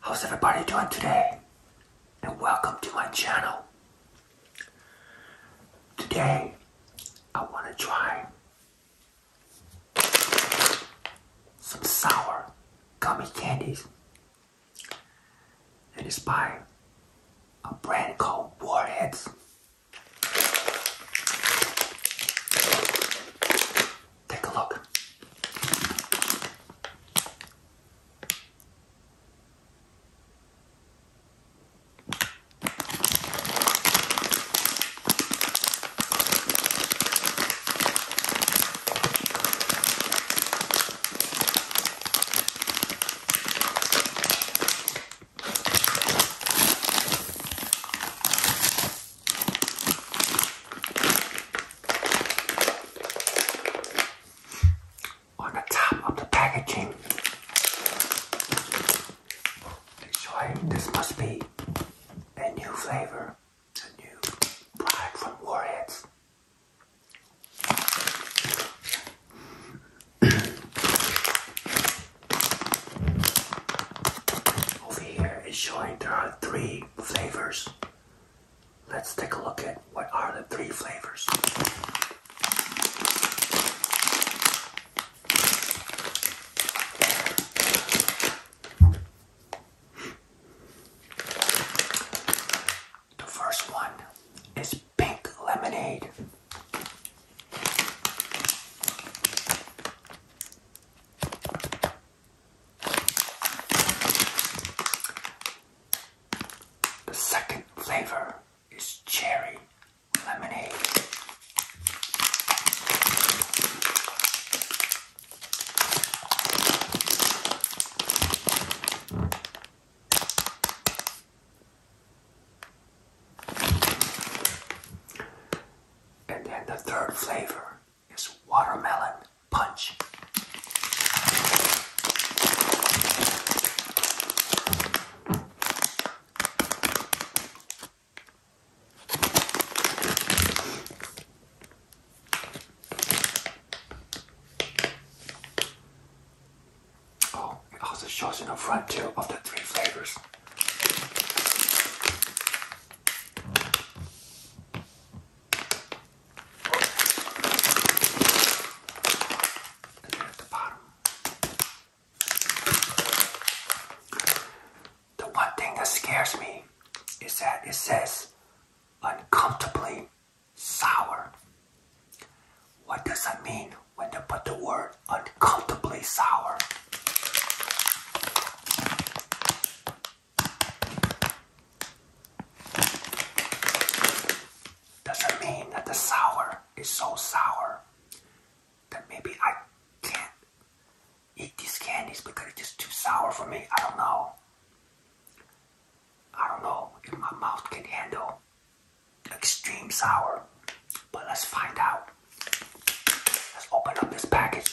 How's everybody doing today? And welcome to my channel. Today, I want to try some sour gummy candies. And it's by a brand called Warheads. Take a look. On the top of the packaging, they this must be a new flavor, a new product from Warheads. Over here is showing there are three flavors. Let's take a look at what are the three flavors. The first one is pink lemonade. The second flavor is cherry lemonade. And then the third flavor is watermelon punch. Oh, it also shows in the front two of the three flavors. The one thing that scares me is that it says uncomfortably sour. What does that mean when they put the word uncomfortably sour? Doesn't mean that the sour is so sour that maybe I can't eat these candies because it's just too sour for me. I don't know. I don't know if my mouth can handle extreme sour, but let's find out. Let's open up this package.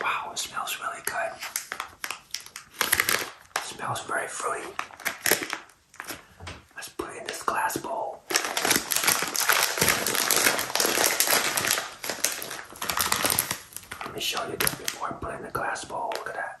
Wow, it smells really good. smells very fruity. Let's put it in this glass bowl. Let me show you this before I put in the glass bowl. Look at that.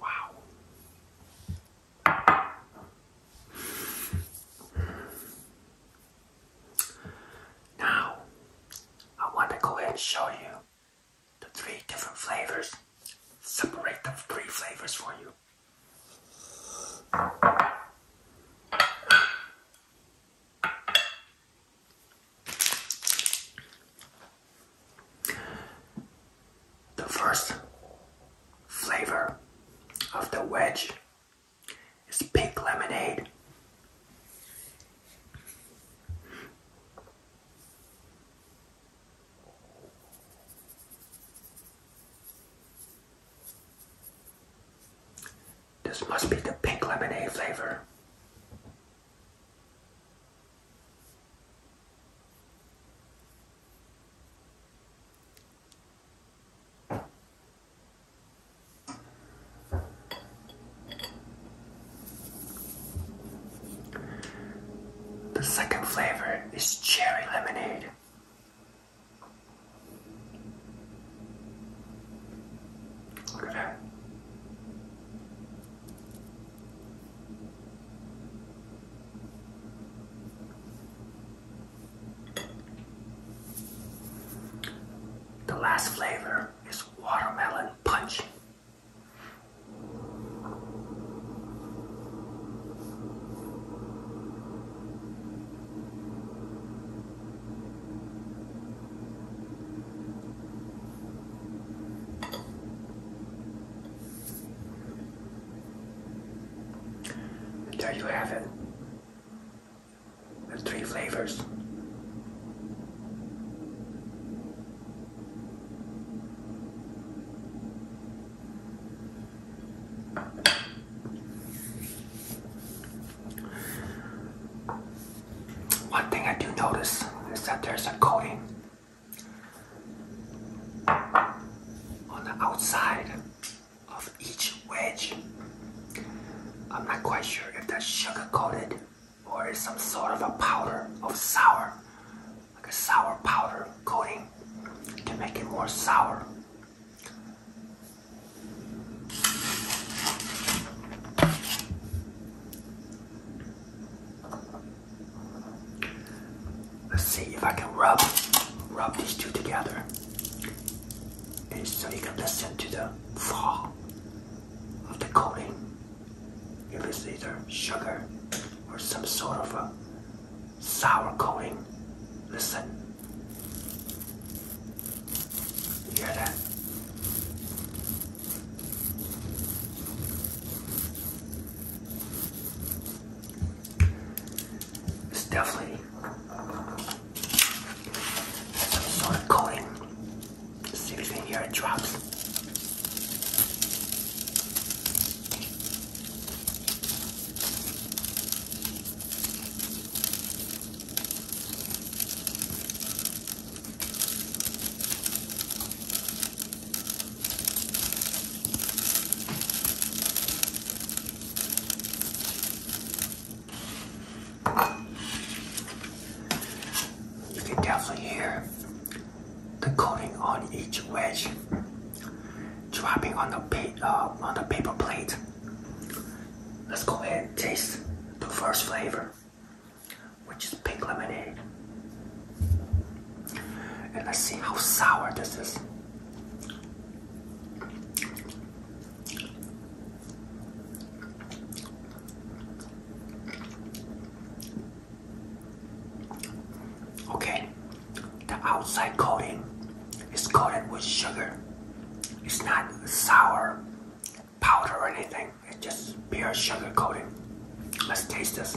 Wow. Now, I want to go ahead and show you the three different flavors. Separate the three flavors for you. The first flavor of the wedge is pink lemonade. This must be the pink lemonade flavor. The second flavor is cherry lemonade. The last flavor is watermelon punch there you have it. The three flavors. One thing I do notice is that there's a coating on the outside of each wedge. I'm not quite sure if that's sugar coated or is some sort of a powder of sour like a sour powder coating to make it more sour. Let's see if I can rub rub these two together and so you can listen to the fall of the coating. It is either sugar or some sort of a sour coating. Listen. You hear It's definitely some sort of coating. See if you can hear it drops. You can definitely hear the coating on each wedge, dropping uh, on the, paper plate. Let's go ahead and taste the first flavor, which is pink lemonade. And let's see how sour this is. Okay, the outside coating is coated with sugar. It's not sour powder or anything. It's just pure sugar coating. Let's taste this.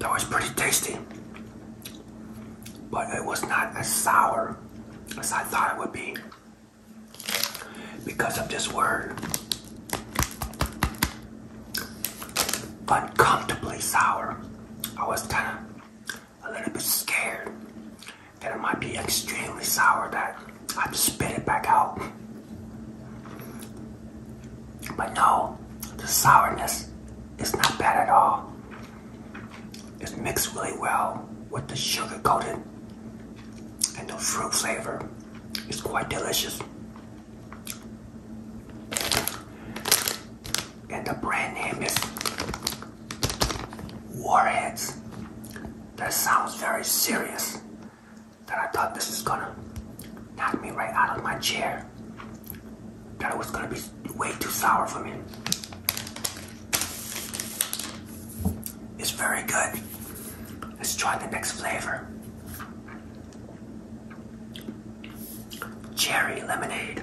That was pretty tasty but it was not as sour as I thought it would be because of this word. Uncomfortably sour. I was kind of a little bit scared that it might be extremely sour that I'd spit it back out. But no, the sourness is not bad at all. It's mixed really well with the sugar coating, and the fruit flavor. It's quite delicious. And the brand name is Warheads. That sounds very serious. That I thought this is gonna knock me right out of my chair that was gonna be way too sour for me. It's very good. Let's try the next flavor. Cherry lemonade.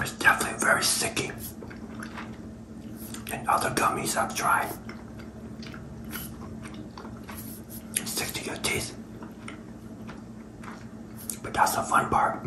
It's definitely very sticky and other gummies I've tried. Stick to your teeth. But that's the fun part.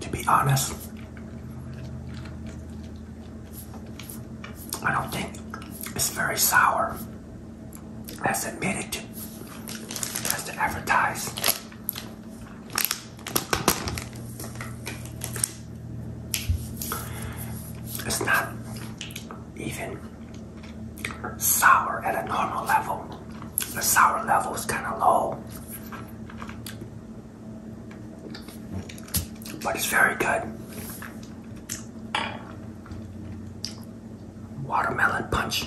To be honest, I don't think it's very sour that's admitted to, as to advertise. It's not even sour at a normal level. The sour level is kind of low. But it's very good watermelon punch.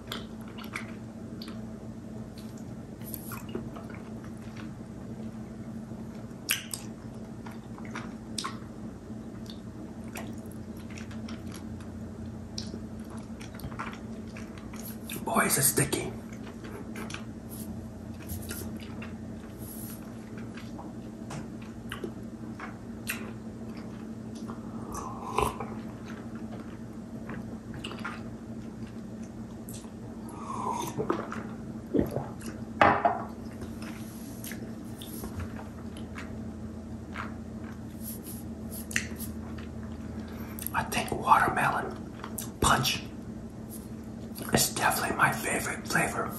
Boy, is it sticky. I think watermelon punch is definitely my favorite flavor.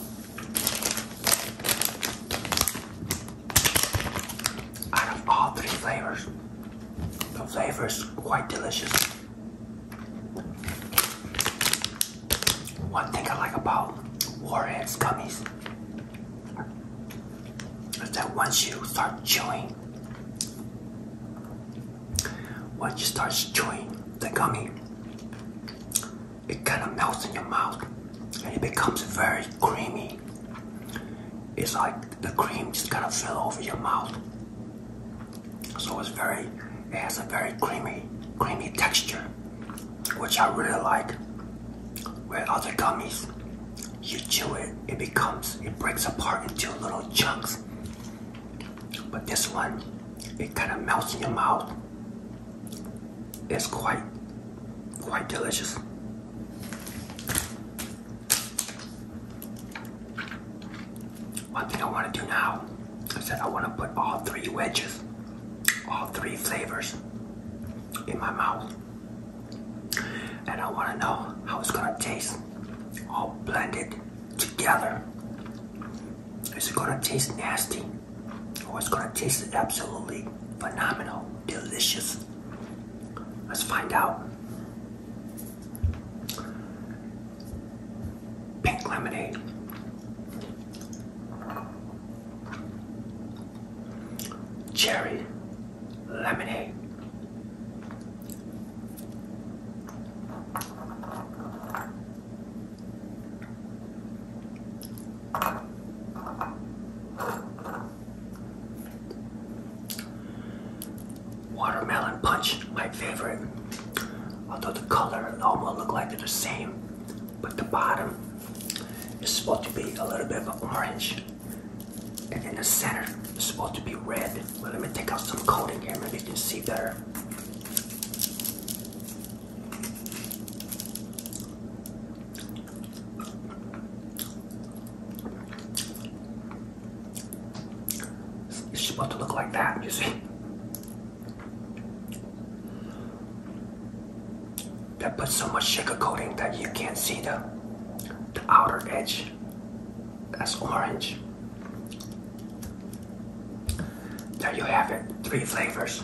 Out of all three flavors, the flavor is quite delicious. One thing I like about Warheads gummies is that once you start chewing, once you start chewing the gummy, it kind of melts in your mouth and it becomes very creamy. It's like the cream just kind of fell over your mouth. So it's very, it has a very creamy, creamy texture, which I really like. With other gummies, you chew it, it becomes, it breaks apart into little chunks. But this one, it kind of melts in your mouth. It's quite, quite delicious. One thing I want to do now I said, I want to put all three wedges, all three flavors in my mouth. And I want to know how it's going to taste, all blended together. Is it going to taste nasty? Or is it going to taste absolutely phenomenal, delicious. Let's find out. Pink lemonade. Cherry lemonade. Watermelon punch, my favorite. Although the color almost look like they're the same, but the bottom is supposed to be a little bit of orange. And in the center is supposed to be red. let me take out some coating here, maybe you can see better. It's supposed to look like that, you see. that put so much sugar coating that you can't see the, the outer edge. That's orange. There you have it, three flavors.